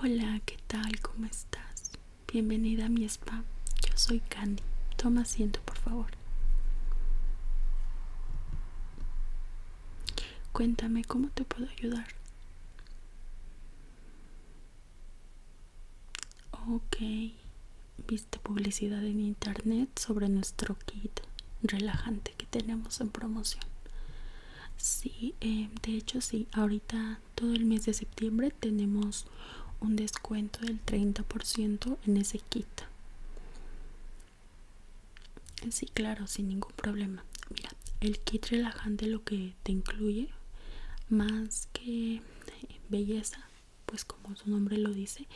Hola, ¿qué tal? ¿Cómo estás? Bienvenida a mi spa. Yo soy Candy. Toma asiento, por favor. Cuéntame cómo te puedo ayudar. Ok, viste publicidad en internet sobre nuestro kit relajante que tenemos en promoción. Sí, em, de hecho sí, ahorita todo el mes de septiembre tenemos un descuento del 30% en ese kit. Sí, claro, sin ningún problema. Mira, el kit relajante lo que te incluye, más que eh, belleza, pues como su nombre lo dice,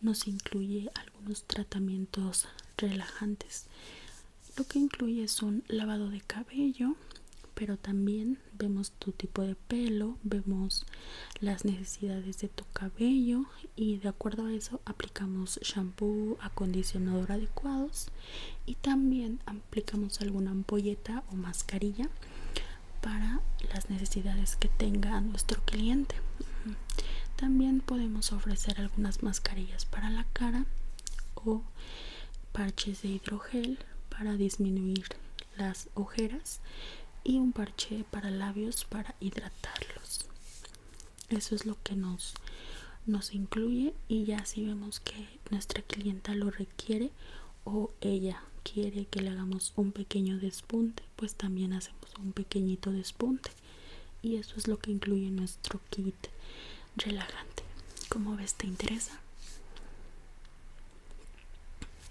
nos incluye algunos tratamientos relajantes lo que incluye es un lavado de cabello pero también vemos tu tipo de pelo vemos las necesidades de tu cabello y de acuerdo a eso aplicamos shampoo acondicionador adecuados y también aplicamos alguna ampolleta o mascarilla para las necesidades que tenga nuestro cliente también podemos ofrecer algunas mascarillas para la cara o parches de hidrogel para disminuir las ojeras y un parche para labios para hidratarlos eso es lo que nos nos incluye y ya si vemos que nuestra clienta lo requiere o ella quiere que le hagamos un pequeño despunte pues también hacemos un pequeñito despunte y eso es lo que incluye nuestro kit relajante. ¿Cómo ves? ¿Te interesa?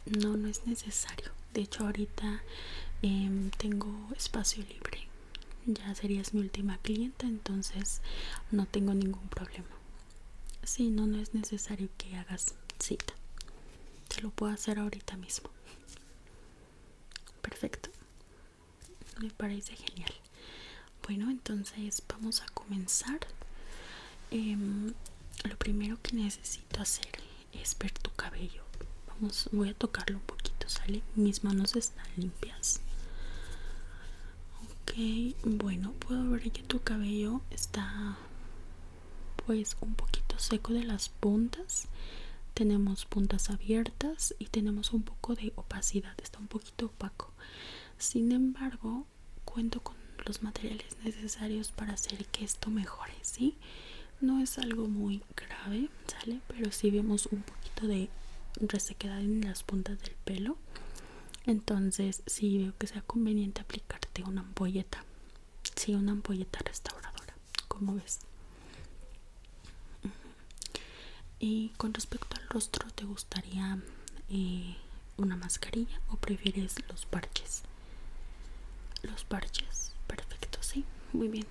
No, no es necesario. De hecho, ahorita em, tengo espacio libre. Ya serías mi última clienta, entonces no tengo ningún problema. Sí, no, no es necesario que hagas cita. Te lo puedo hacer ahorita mismo. Perfecto me parece genial bueno entonces vamos a comenzar em, lo primero que necesito hacer es ver tu cabello vamos voy a tocarlo un poquito sale mis manos están limpias ok bueno puedo ver que tu cabello está pues un poquito seco de las puntas tenemos puntas abiertas y tenemos un poco de opacidad está un poquito opaco. Sin embargo, cuento con los materiales necesarios para hacer que esto mejore, si No es algo muy grave, ¿sale? Pero si vemos un poquito de resequedad en las puntas del pelo. Entonces, sí veo que sea conveniente aplicarte una ampolleta. si una ampolleta restauradora, como ves. Y con respecto al rostro, ¿te gustaría eh, una mascarilla o prefieres los parches? Los parches, perfecto, sí, muy bien.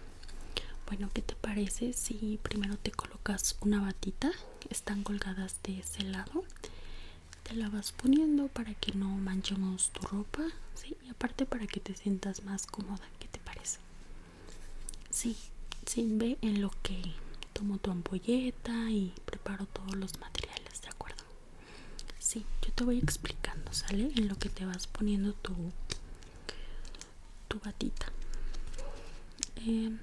Bueno, ¿qué te parece si primero te colocas una batita? Están colgadas de ese lado. Te la vas poniendo para que no manchemos tu ropa, sí, y aparte para que te sientas más cómoda. ¿Qué te parece? Sí, ve en lo que tomo tu ampolleta y preparo todos los materiales, ¿de acuerdo? Sí, yo te voy explicando, ¿sale? En lo que te vas poniendo tu, tu batita. Em,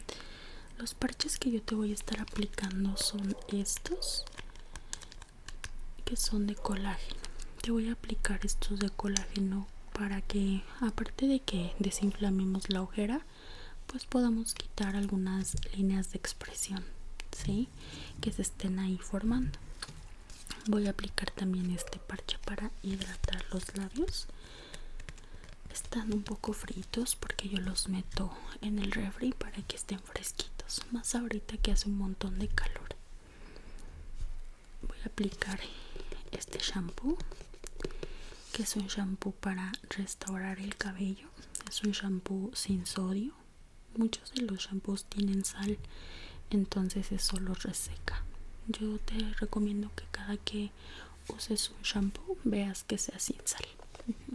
los parches que yo te voy a estar aplicando son estos, que son de colágeno. Te voy a aplicar estos de colágeno para que aparte de que desinflamemos la ojera pues podamos quitar algunas líneas de expresión que se estén ahí formando voy a aplicar también este parche para hidratar los labios están un poco fritos porque yo los meto en el refri para que estén fresquitos más ahorita que hace un montón de calor voy a aplicar este shampoo que es un shampoo para restaurar el cabello es un shampoo sin sodio muchos de los shampoos tienen sal entonces eso lo reseca yo te recomiendo que cada que uses un shampoo veas que sea sin sal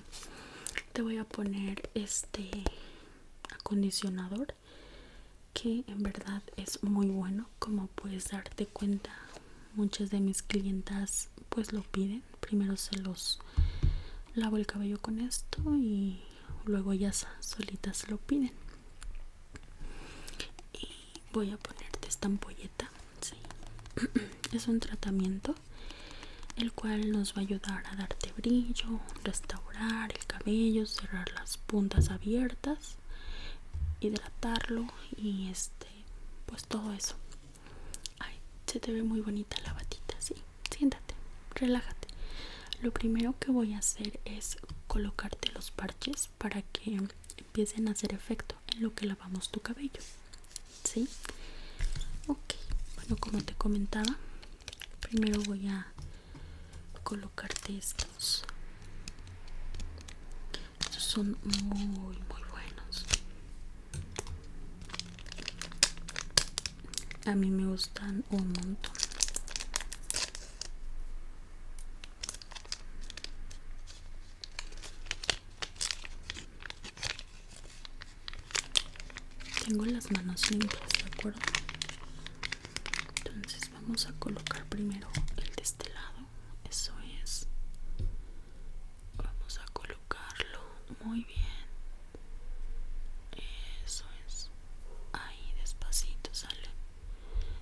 te voy a poner este acondicionador que en verdad es muy bueno como puedes darte cuenta muchas de mis clientas pues lo piden primero se los lavo el cabello con esto y luego ya solitas lo piden y voy a ponerte esta ampolleta es un tratamiento el cual nos va a ayudar a darte brillo restaurar el cabello cerrar las puntas abiertas hidratarlo y este pues todo eso se te ve muy bonita la batita sí siéntate relájate lo primero que voy a hacer es colocarte los parches para que empiecen a hacer efecto en lo que lavamos tu cabello sí ok bueno como te comentaba primero voy a colocarte estos estos son muy, muy buenos. A mí me gustan un montón. Tengo las manos limpias, ¿de acuerdo? Entonces vamos a colocar primero el de este lado eso es vamos a colocarlo muy bien eso es ahí despacito sale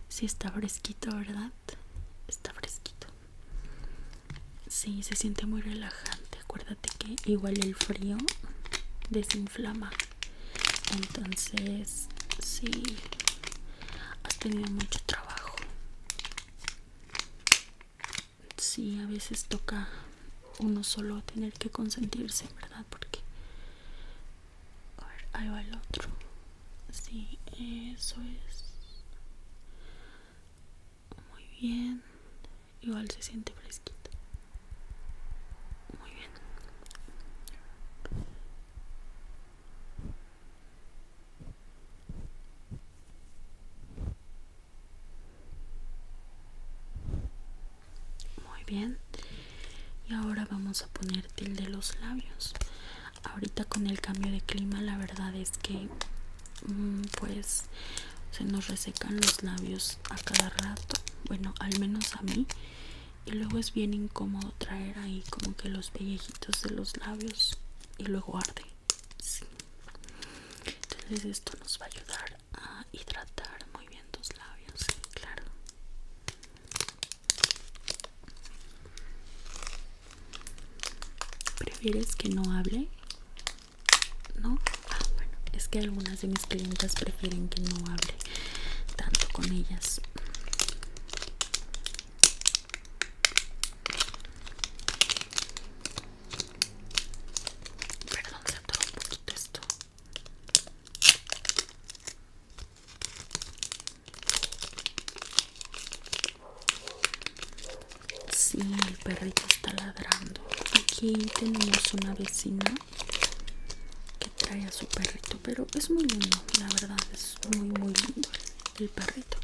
si está fresquito verdad está fresquito si sí, se siente muy relajante acuérdate que igual el frío desinflama entonces sí has tenido mucho trabajo. Sí, a veces toca uno solo tener que consentirse, ¿verdad? Porque... A ver, ahí va el otro. Sí, eso es. Muy bien. Igual se siente fresquito. Muy bien. Muy bien. Y ahora vamos a poner tilde los labios. Ahorita con el cambio de clima la verdad es que mm, pues se nos resecan los labios a cada rato. Bueno, al menos a mí y luego es bien incómodo traer ahí como que los pellejitos de los labios y luego arde sí. entonces esto nos va a ayudar a hidratar muy bien tus labios claro prefieres que no hable no ah bueno es que algunas de mis clientas prefieren que no hable tanto con ellas Perdón, se atoró un poquito esto. Sí, el perrito está ladrando. Aquí tenemos una vecina que trae a su perrito, pero es muy lindo, la verdad, es muy muy lindo el perrito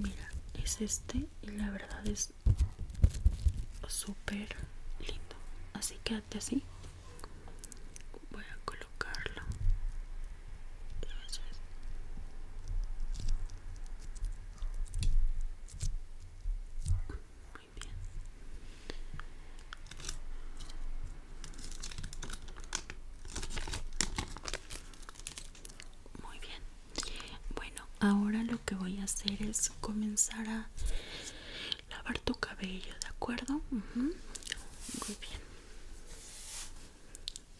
mira es este y la verdad es súper lindo así quédate así voy a colocarlo Muy bien. Muy bien. Bueno, ahora lo que voy a hacer es comenzar a lavar tu cabello, ¿de acuerdo? Muy bien.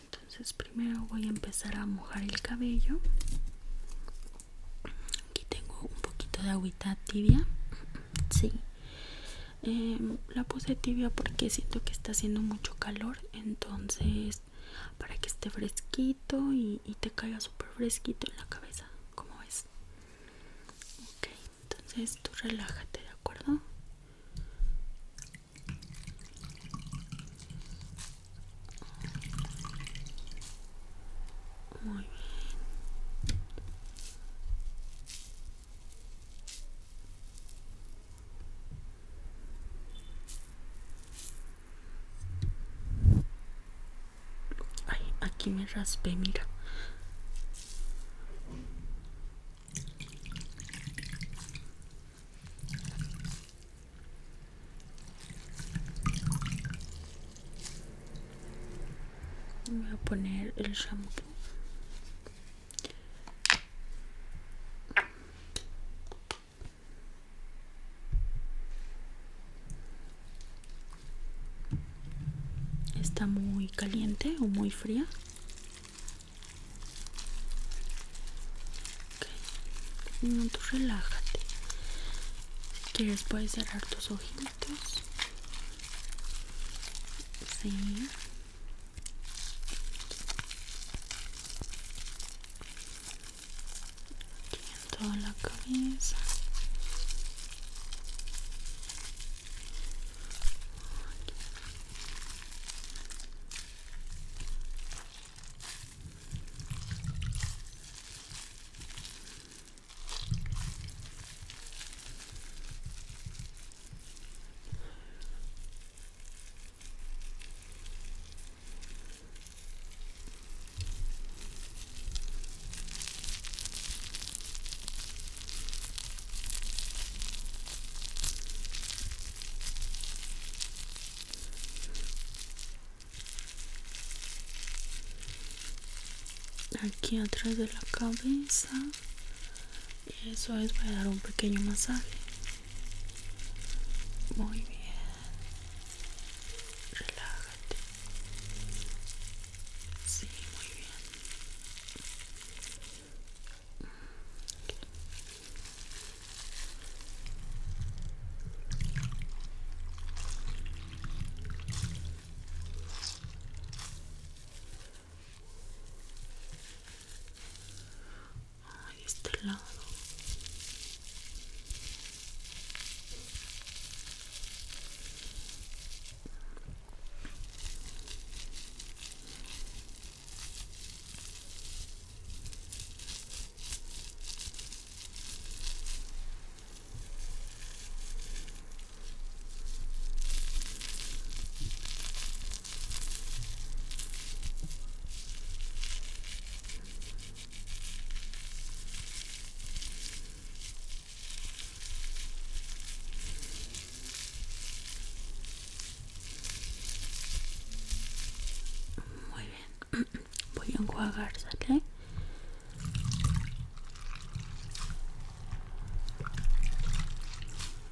Entonces primero voy a empezar a mojar el cabello. Aquí tengo un poquito de agüita tibia. Sí. Em, la puse tibia porque siento que está haciendo mucho calor entonces para que esté fresquito y, te caiga súper fresquito en la cabeza como ves ok entonces tú relájate de acuerdo muy bien Ay, aquí me raspe, mira. voy a poner el shampoo Está muy caliente o muy fría. Okay. relájate. Si quieres puedes cerrar tus ojitos. Sí. Aquí toda la cabeza aquí atrás de la cabeza eso es voy a dar un pequeño masaje muy bien. Relájate. Sí, muy bien. A este lado. Muy bien, voy a enjuagar, ¿sale?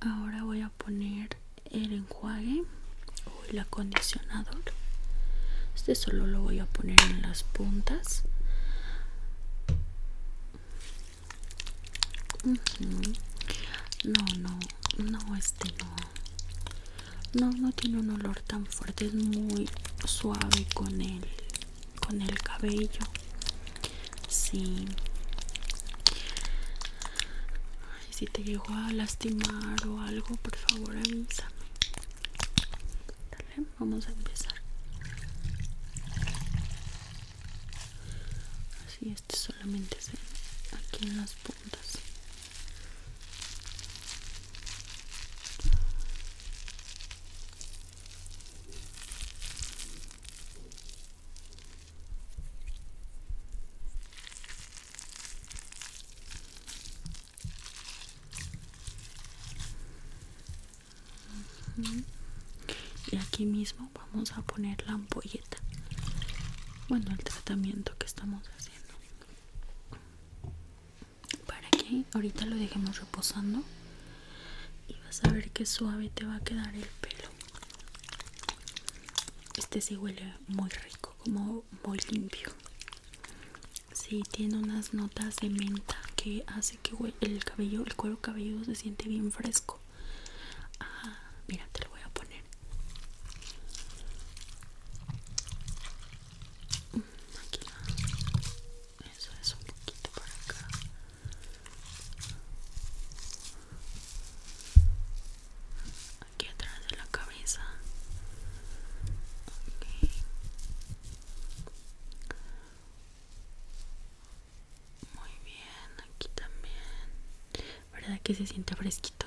ahora voy a poner el enjuague o el acondicionador este solo lo voy a poner en las puntas no no no este no no no tiene un olor tan fuerte es muy suave con el con el cabello sí y si te llegó a lastimar o algo por favor avísame Dale, vamos a empezar así este solamente ve aquí en las puntas y aquí mismo vamos a poner la ampolleta. Bueno, el tratamiento que estamos haciendo. Para que ahorita lo dejemos reposando. Y vas a ver qué suave te va a quedar el pelo. Este sí huele muy rico, como muy limpio. Sí, tiene unas notas de menta que hace que el cabello, el cuero cabelludo se siente bien fresco. mira, te lo voy a poner. Mm, aquí Eso es un poquito para acá aquí atrás de la cabeza muy bien aquí también verdad que se siente fresquito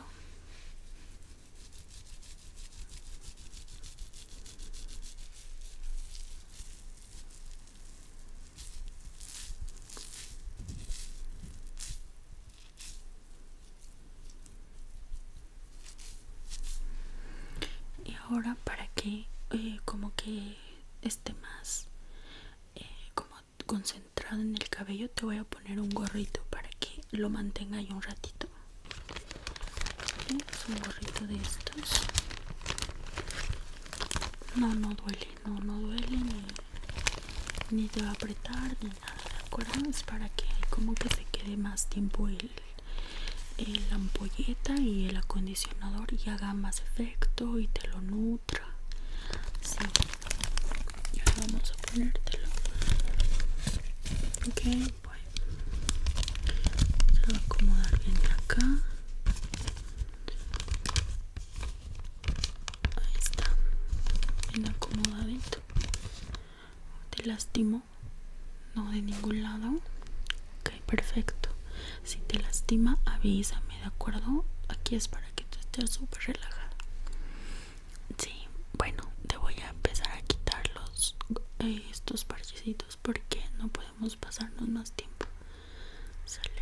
y ahora para que eh, como que esté más eh, como concentrado en el cabello te voy a poner un gorrito para que lo mantenga ahí un ratito un gorrito de estos no no duele no, no duele ni, te va a apretar ni nada, ¿de acuerdo? Es para que como que se quede más tiempo el, la ampolleta y el acondicionador y haga más efecto y te lo nutra. Sí, ya vamos a ponértelo. Ok, bueno, se va a acomodar bien acá. Ahí está. Bien acomodadito. ¿Te lastimo, No, de ningún lado. Ok, perfecto. Si te lastima, avísame, ¿de acuerdo? Aquí es para que tú estés súper relajada. Sí, bueno, te voy a empezar a quitar los, eh, estos parchecitos porque no podemos pasarnos más tiempo sale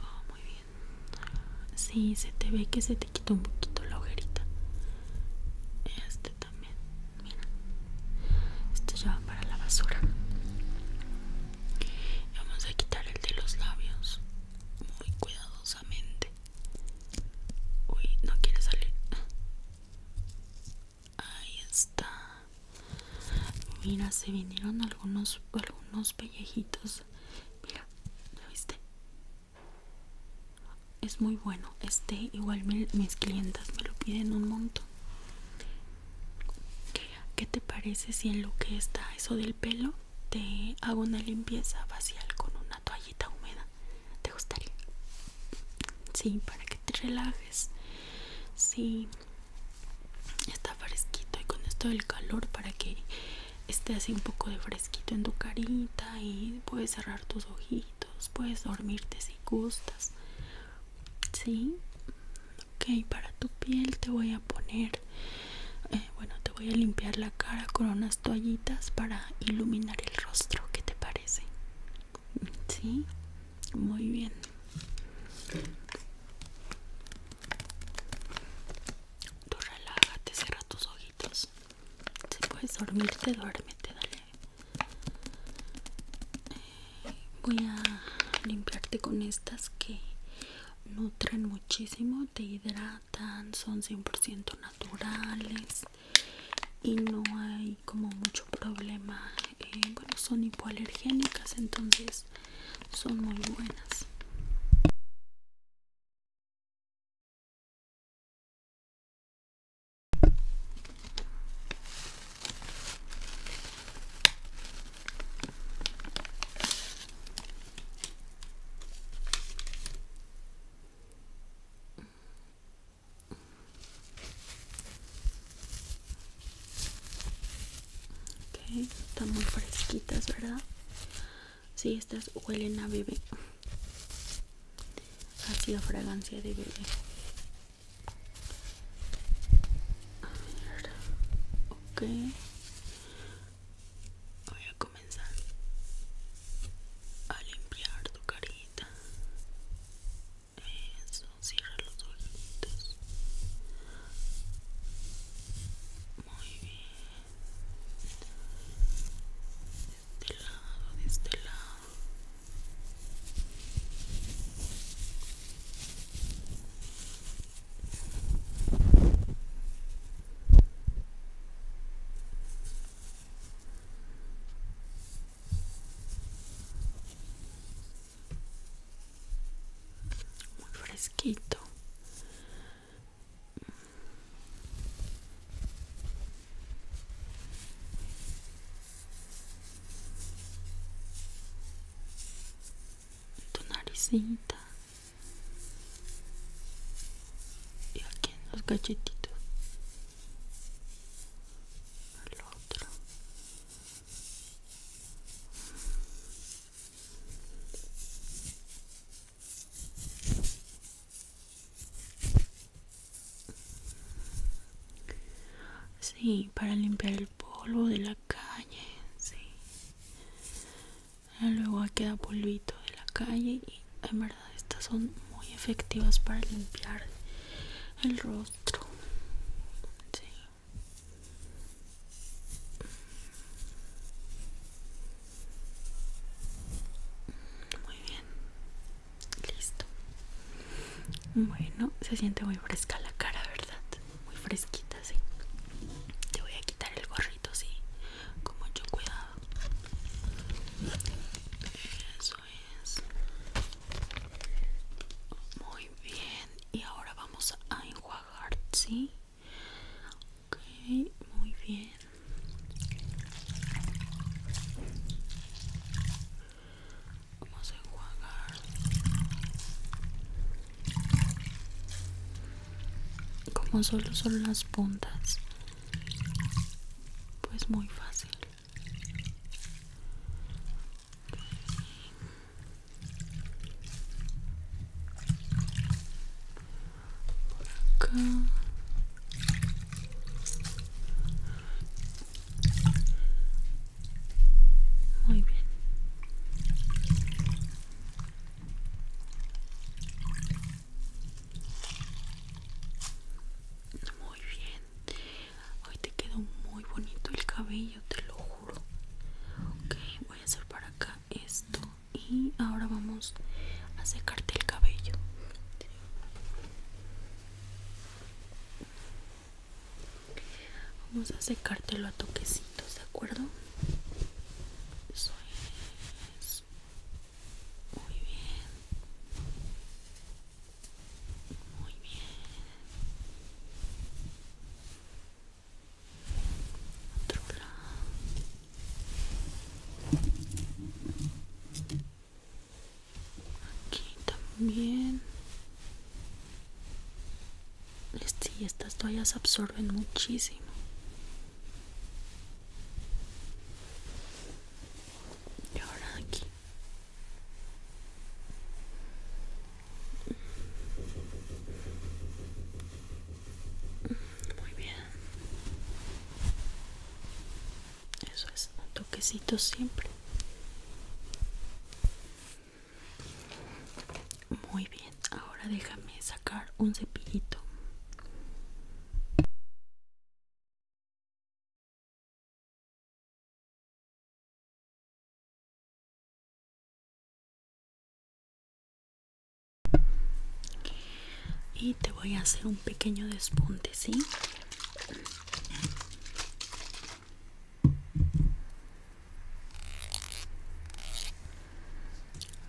oh, muy bien sí se te ve que se te quitó un poquito la ojerita este también mira este ya va para la basura vamos a quitar el de los labios muy cuidadosamente uy no quiere salir ahí está mira se vinieron algunos algunos pellejitos mira ¿lo viste? es muy bueno este igual mis clientas me lo piden un montón ¿qué te parece si en lo que está eso del pelo te hago una limpieza facial con una toallita húmeda? ¿te gustaría? sí, para que te relajes sí está fresquito y con esto del calor para que esté así un poco de fresquito en tu carita y puedes cerrar tus ojitos, puedes dormirte si gustas. Sí, ok, para tu piel te voy a poner, eh, bueno, te voy a limpiar la cara con unas toallitas para iluminar el rostro, ¿qué te parece? Sí, muy bien. Tú relájate, cierra tus ojitos. Si puedes dormirte, duérmete, dale. Eh, voy a limpiarte con estas que nutren muchísimo, te hidratan, son 100% naturales y no hay como mucho problema bueno, eh, son hipoalergénicas, entonces son muy buenas. Okay, están muy fresquitas, ¿verdad? Sí, estas huelen a bebé. Así la fragancia de bebé. A ver, ok. Voy a comenzar a limpiar tu carita. Eso, cierra los ojitos. Muy bien. De este lado, de este lado muy fresquito tu naricita y aquí en los galletitos el otro Sí, para limpiar el polvo de la calle, sí. Ah, luego queda polvito de la calle y en verdad estas son muy efectivas para limpiar el rostro. Sí. Muy bien, listo. Bueno, se siente muy fresca la cara, ¿verdad? Muy fresquita, sí. Te voy a quitar el gorrito, sí, con mucho cuidado. Eso es. Muy bien, y ahora vamos a enjuagar, ¿sí? Ok, muy bien. Vamos a enjuagar. Como solo son las puntas, pues muy fácil. Por acá. Muy bien. Muy bien. Hoy te quedó muy bonito el cabello, te lo juro. Ok, voy a hacer para acá esto. Y ahora vamos a secarte el cabello. Vamos a secártelo a toquecitos, ¿de acuerdo? Eso es. Muy bien. Muy bien. Otro Aquí también. Sí, este, estas toallas absorben muchísimo. Y ahora aquí. Muy bien. Eso es un toquecito siempre. Muy bien, ahora déjame sacar un cepillito y te voy a hacer un pequeño despunte, ¿sí?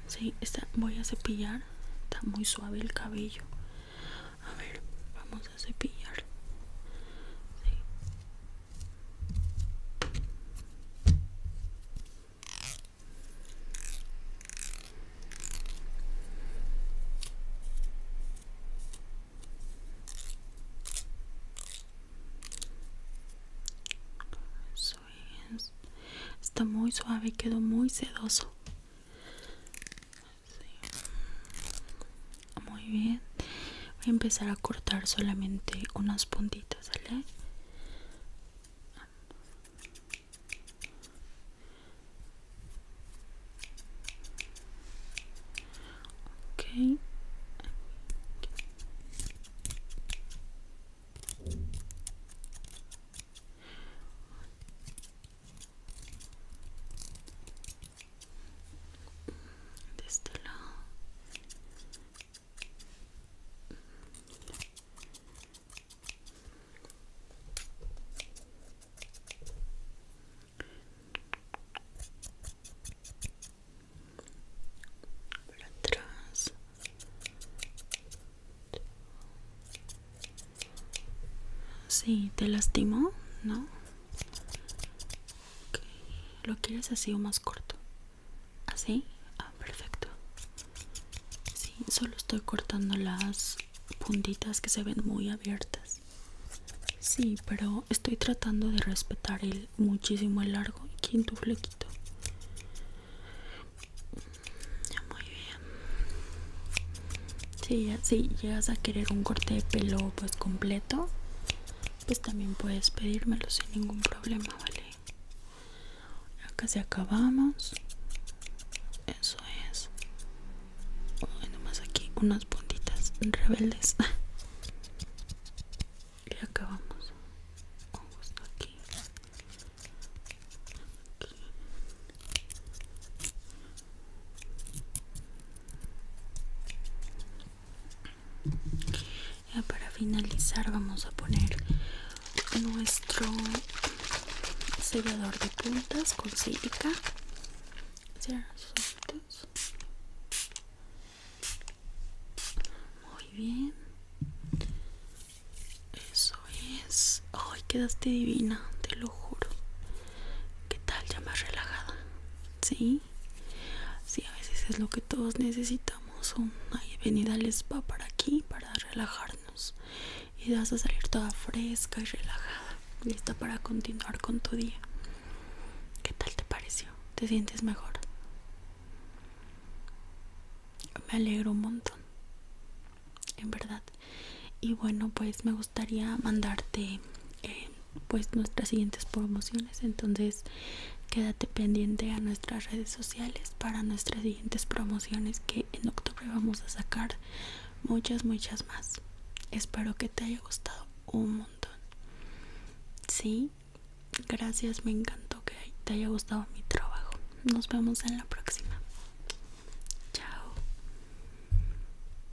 Sí, voy a cepillar, está muy suave el cabello. A ver, vamos vamos a Está muy suave, quedó muy sedoso. Muy bien. Voy a empezar a cortar solamente unas puntitas, ¿vale? de este lado por atrás Sí, te lastimó, ¿no? ¿Lo quieres así o más corto? ¿Así? Ah, perfecto. Sí, solo estoy cortando las puntitas que se ven muy abiertas. Sí, pero estoy tratando de respetar el muchísimo el largo y tu flequito. Muy bien ya si llegas a querer un corte de pelo pues completo, pues también puedes pedírmelo sin ningún problema, ¿vale? Ya casi acabamos. Eso es. más aquí unas puntitas rebeldes. y acabamos. Justo aquí. Ya para finalizar vamos a poner nuestro sellador de puntas con sílica. Muy bien. Eso es. Ay, quedaste divina, te lo juro. ¿Qué tal? Ya más relajada. Sí. Sí, a veces es lo que todos necesitamos. venida venida al spa para aquí, para relajarnos. Y vas a salir toda fresca y relajada. Lista para continuar con tu día. ¿Qué tal te pareció? ¿Te sientes mejor? Me alegro un montón. En verdad. Y bueno, pues me gustaría mandarte... Eh, pues nuestras siguientes promociones entonces quédate pendiente a nuestras redes sociales para nuestras siguientes promociones que en octubre vamos a sacar muchas muchas más espero que te haya gustado un montón sí gracias me encantó que te haya gustado mi trabajo nos vemos en la próxima chao